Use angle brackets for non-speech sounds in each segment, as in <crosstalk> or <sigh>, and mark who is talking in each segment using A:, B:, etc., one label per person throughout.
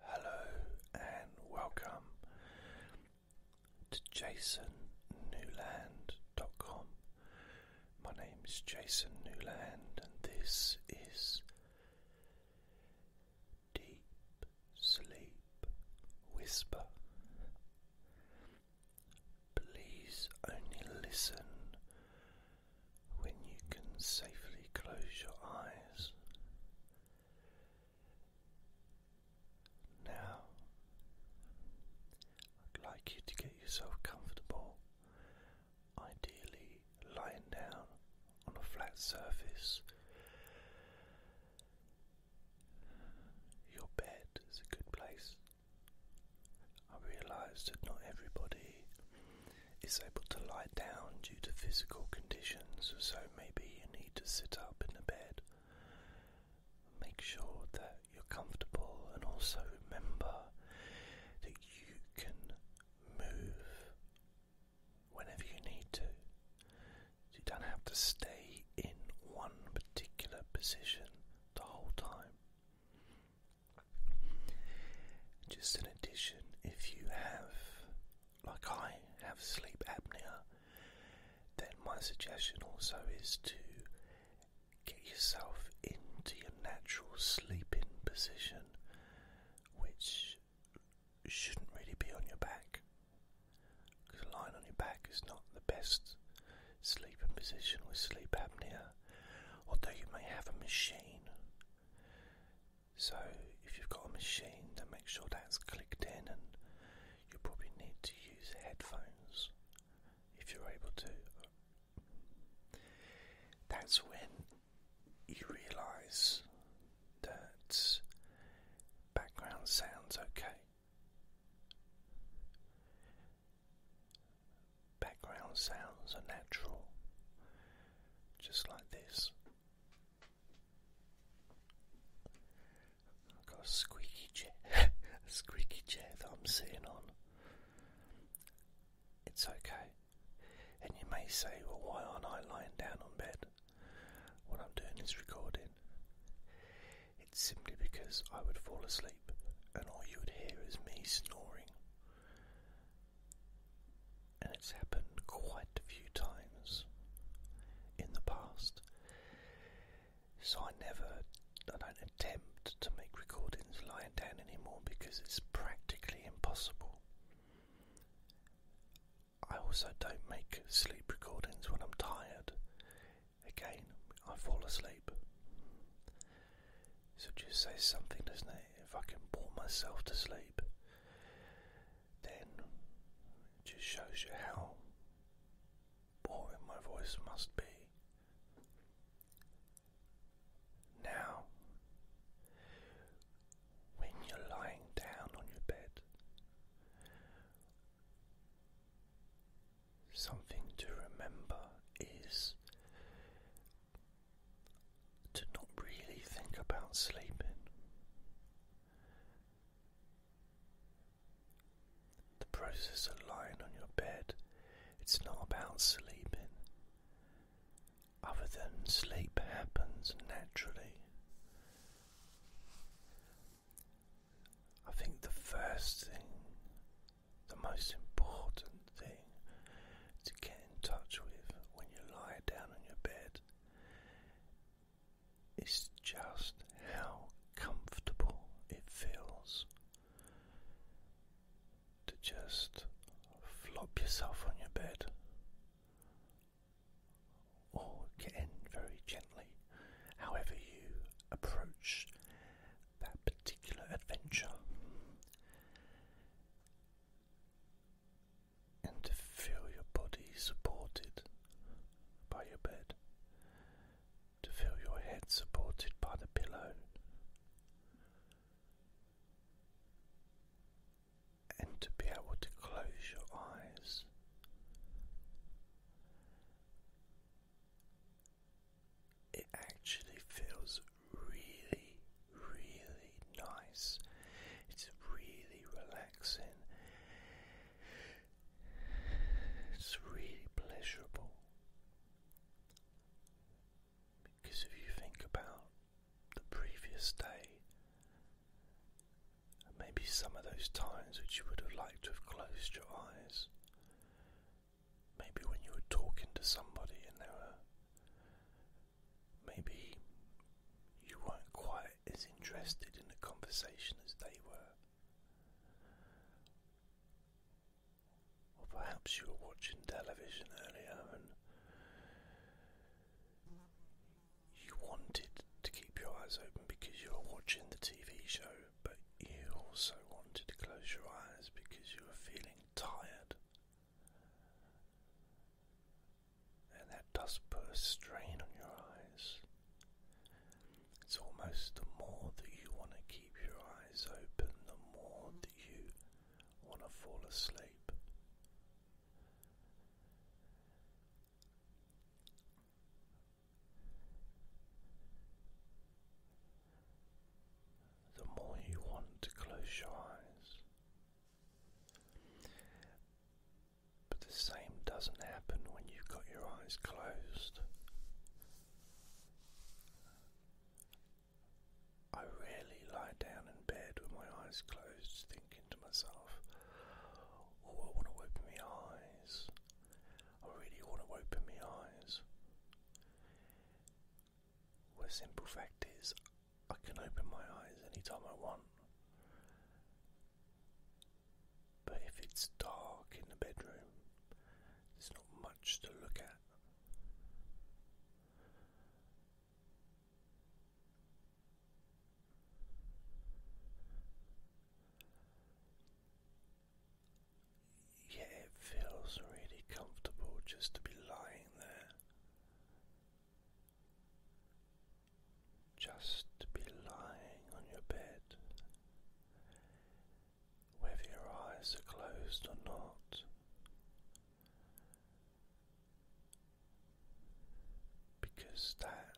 A: Hello and welcome to jasonnewland.com. My name is Jason Newland, and this is Deep Sleep Whisper. Please only listen when you can safely close your eyes. Now, I'd like you to get yourself comfortable, ideally lying down on a flat surface. Your bed is a good place. I realise that not everybody is able to lie down due to physical conditions, so maybe you need to sit up in a bed. Make sure that you're comfortable and also remember that you can move whenever you need to. You don't have to stay in one particular position the whole time. Just in addition, if you have like I have sleep apnea, then my suggestion also is to get yourself into your natural sleeping position, which shouldn't really be on your back. Because lying on your back is not the best sleeping position with sleep apnea, although you may have a machine so, if you've got a machine, then make sure that's clicked in, and you probably need to use headphones if you're able to. That's when you realize that background sounds okay. Background sounds are natural, just like this. I've got a squeaky chair, <laughs> squeaky chair that I'm sitting on. It's okay. And you may say, well, why aren't I lying down on bed What I'm doing is recording? It's simply because I would fall asleep and all you would hear is me snoring and it's happened quite a few times in the past. So I never, I don't attempt to make recordings lying down anymore because it's practically impossible. I also don't make sleep recordings when I'm tired. Again, I fall asleep. So just say something, doesn't it? if I can bore myself to sleep, then it just shows you how boring my voice must be. Now, when you're lying down on your bed, something to remember is to not really think about sleeping. The process of lying on your bed, it's not about sleeping, other than sleep happens naturally. I think the first thing, the most important thing to get in touch with when you lie down on your bed. It's just how comfortable it feels to just flop yourself on your bed or get in very gently, however you approach that particular adventure and to feel your body supported by your bed, to feel your head supported by the pillow, and to be able to close your eyes. It actually feels really, really nice. It's really relaxing. It's really pleasurable. Because if you think about the previous day, maybe some of those times which you would have liked to have closed your eyes, maybe when you were talking to somebody and there were maybe you weren't quite as interested in the conversation as they were. Or perhaps you were watching television earlier and you wanted to keep your eyes open because you were watching the TV show, but you also wanted to close your eyes because you were feeling tired and that does put a strain on your eyes. It's almost the more that you want to keep your eyes open, the more that you want to fall asleep the more you want to close your eyes. But the same doesn't happen when you've got your eyes closed. I rarely lie down in bed with my eyes closed, thinking to myself, Oh, I want to open my eyes. I really want to open my eyes. The simple fact is I can open my eyes anytime I want. But if it's dark in the bedroom, there's not much to look at. Yet it feels really comfortable just to be lying there. Just to be lying on your bed. Whether your eyes are closed or not, because that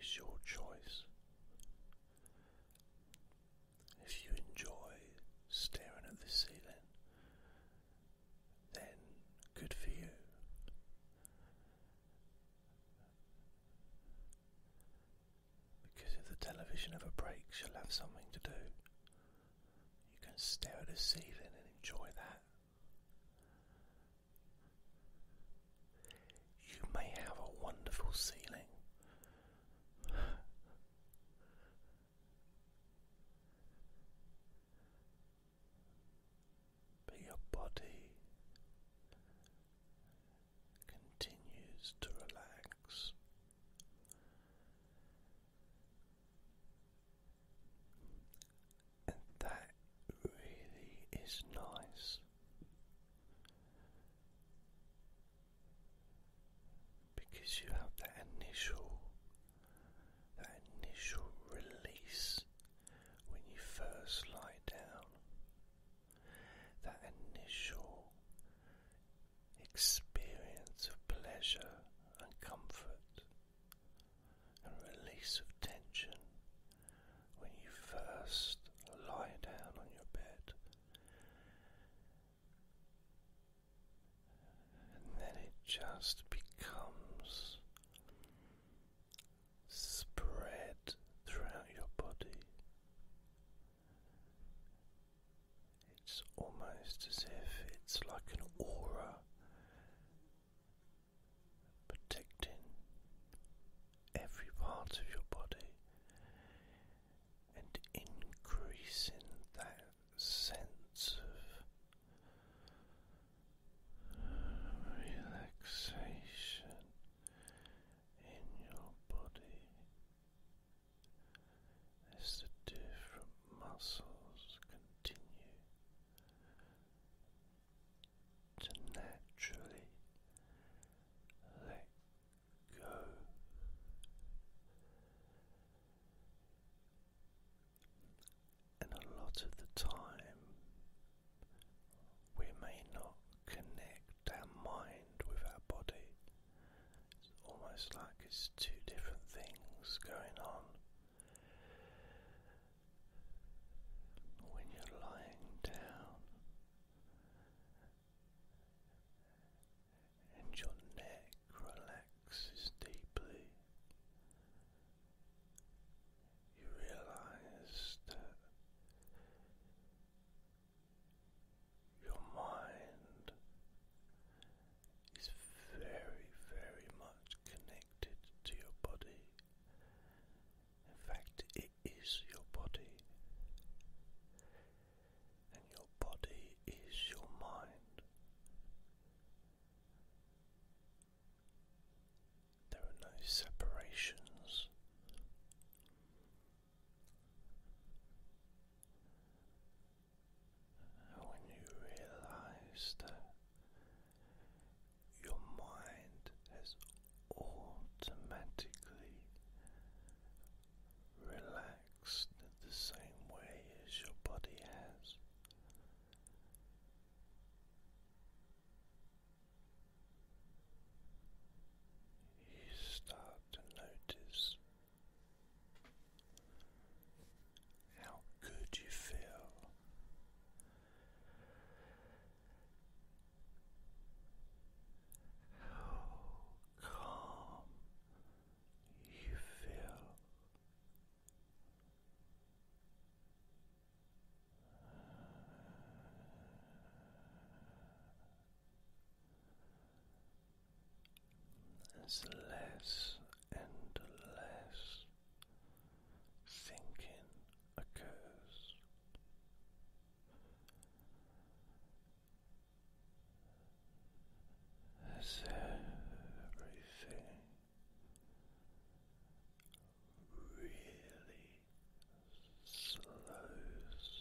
A: is your choice. If you enjoy staring at the ceiling, then good for you. Because if the television ever breaks, you'll have something to do. You can stare at the ceiling and enjoy that. You may have a wonderful ceiling your body continues to relax. And that really is nice because you have that initial that initial release when you first lie down that initial experience of pleasure and comfort and release of tension when you first lie down on your bed and then it just becomes spread throughout your body. It's almost as if it's like an aura protecting every part of your body and increasing that sense of relaxation in your body as the different muscles continue to naturally go. And a lot of the time, we may not connect our mind with our body. It's almost like it's two different things going on. When you're lying down, and your neck relaxes deeply. You realize that your mind is very, very much connected to your body in fact, it is your body, and your body is your mind. There are no separations. when you realize your mind has automatically relaxed the same way as your body has. You start to notice how good you feel how calm you feel. There's less and less thinking occurs. As everything really slows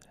A: down.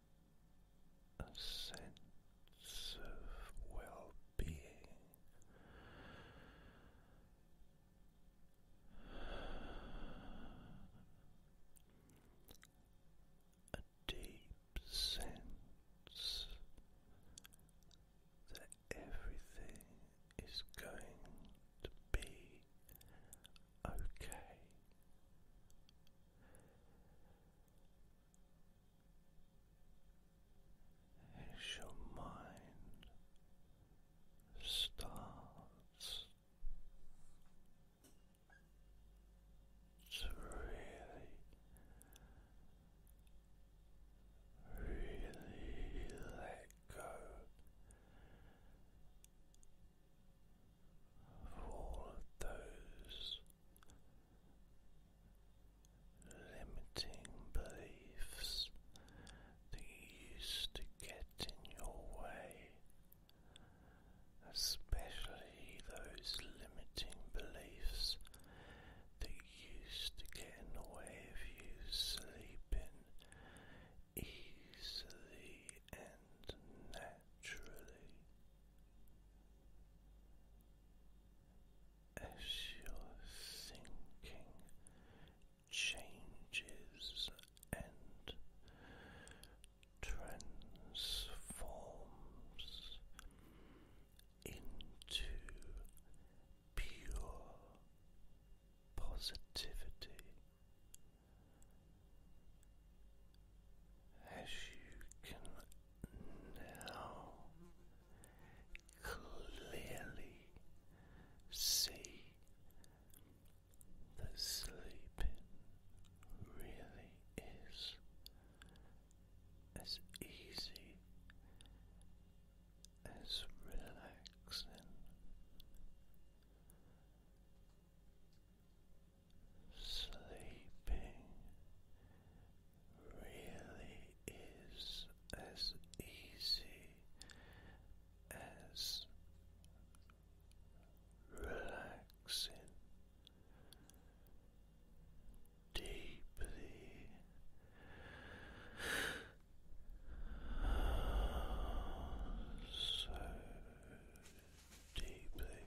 A: a sense of well being. A deep sense that everything is going to be okay as your mind starts to really, really let go of all those limiting beliefs that used to get in your way, especially those limiting beliefs that used to get in the way of you sleeping easily and naturally as your thinking changes and transforms into pure positivity as you can now clearly see that sleeping really is as easy as relaxing. Sleeping really is as easy as relaxing. Deeply so deeply.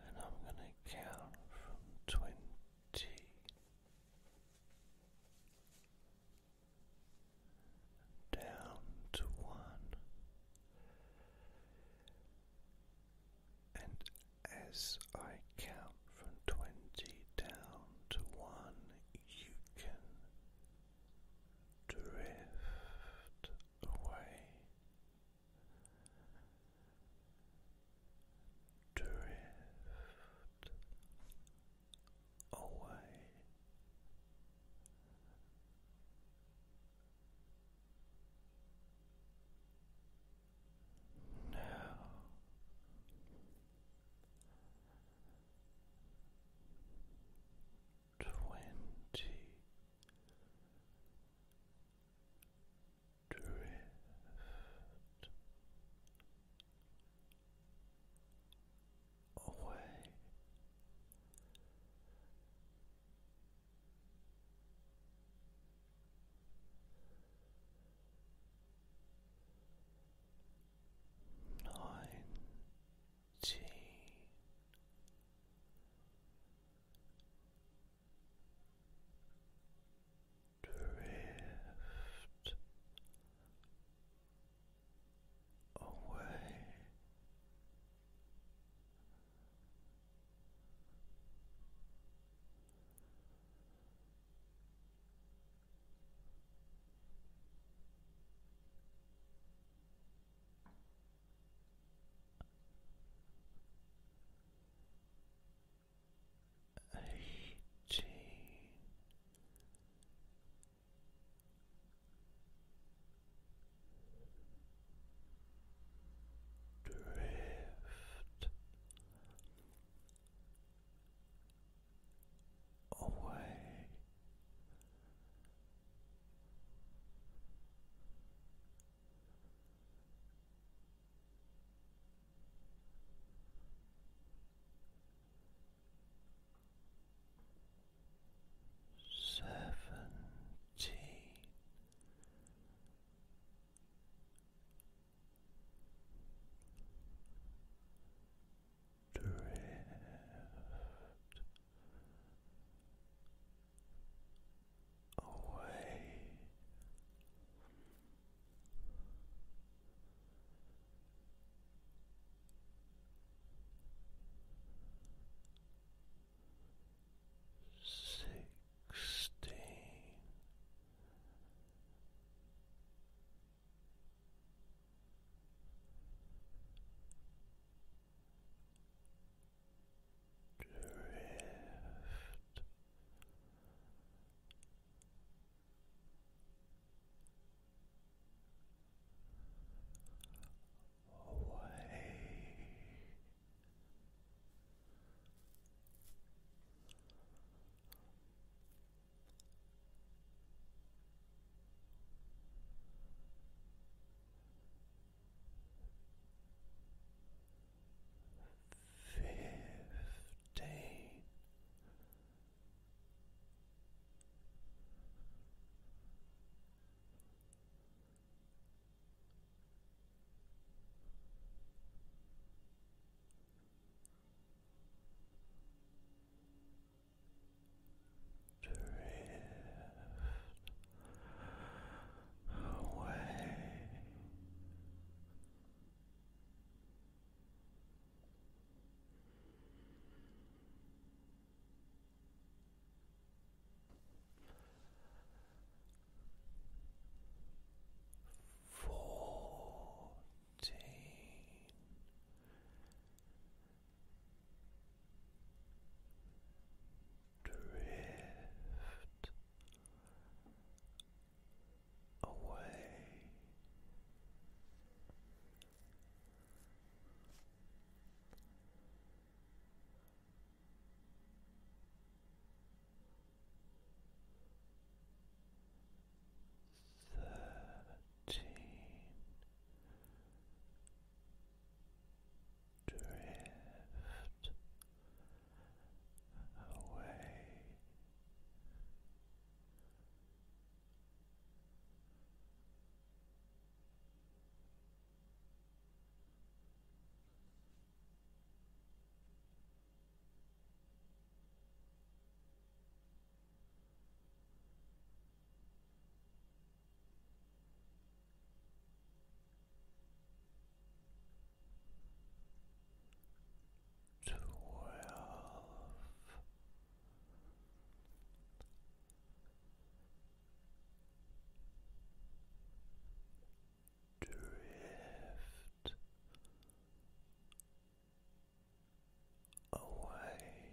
A: And I'm going to count from twenty down to one, and as I count from twenty down to one, you can drift away, drift away. Now twenty drift away. Nineteen drift away eighteen. Drift away Seventeen, drift away sixteen. Drift away. Oh, fifteen. Drift away Fourteen. Drift away. Thirteen drift away twelve. Drift away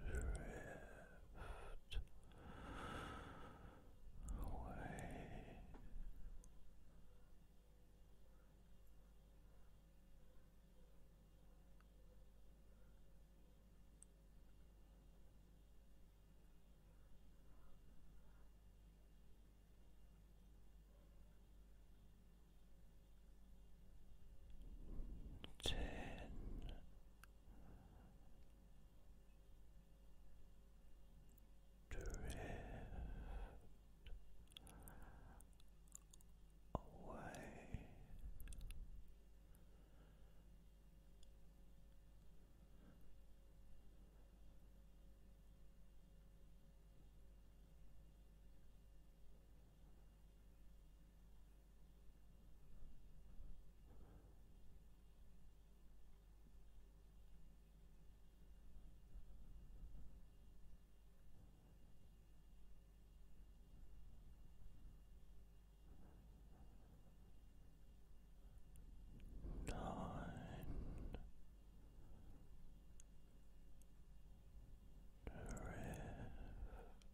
A: drift away. Relax ten drift away Nine Nine. Drift away.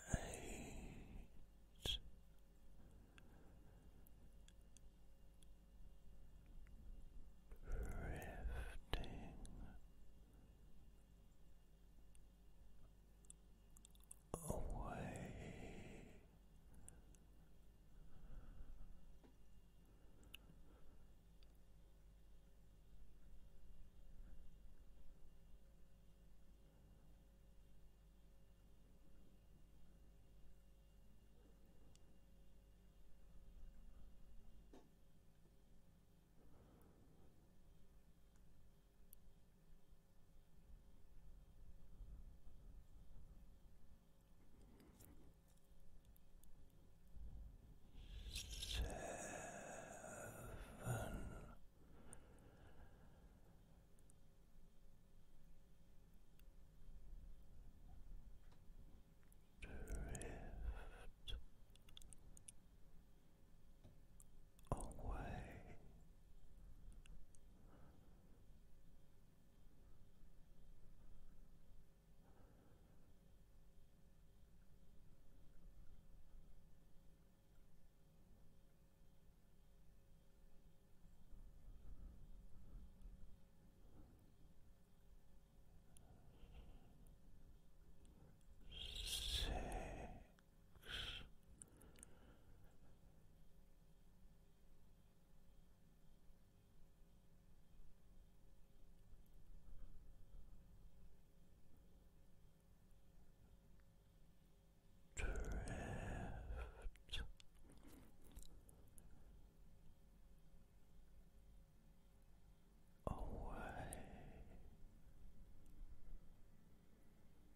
A: Eight. Drifting away. Seven. Drift away. Six. Drift. Away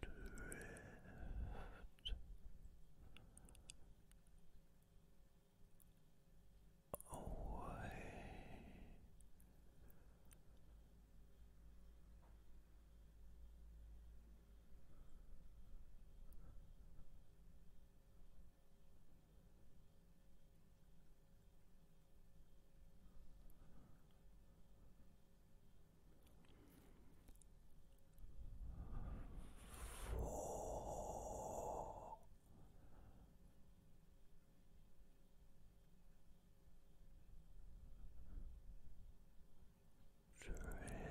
A: drift away. Four. Drift away.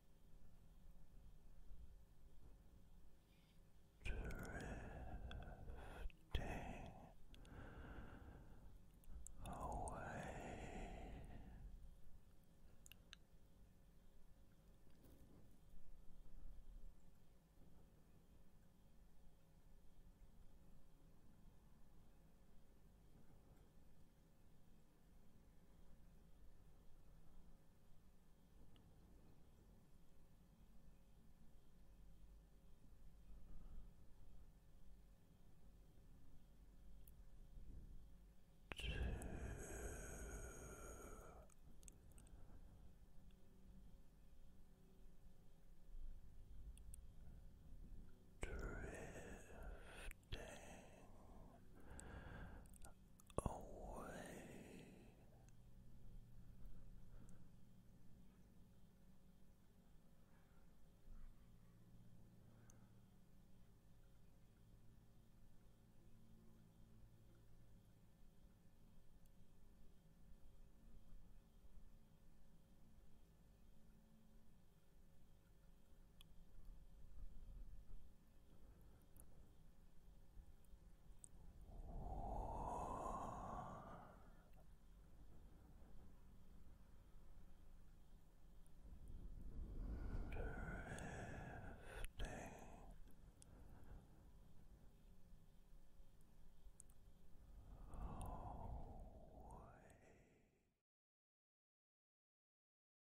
A: drifting away. Two. Drift drifting away. Now away.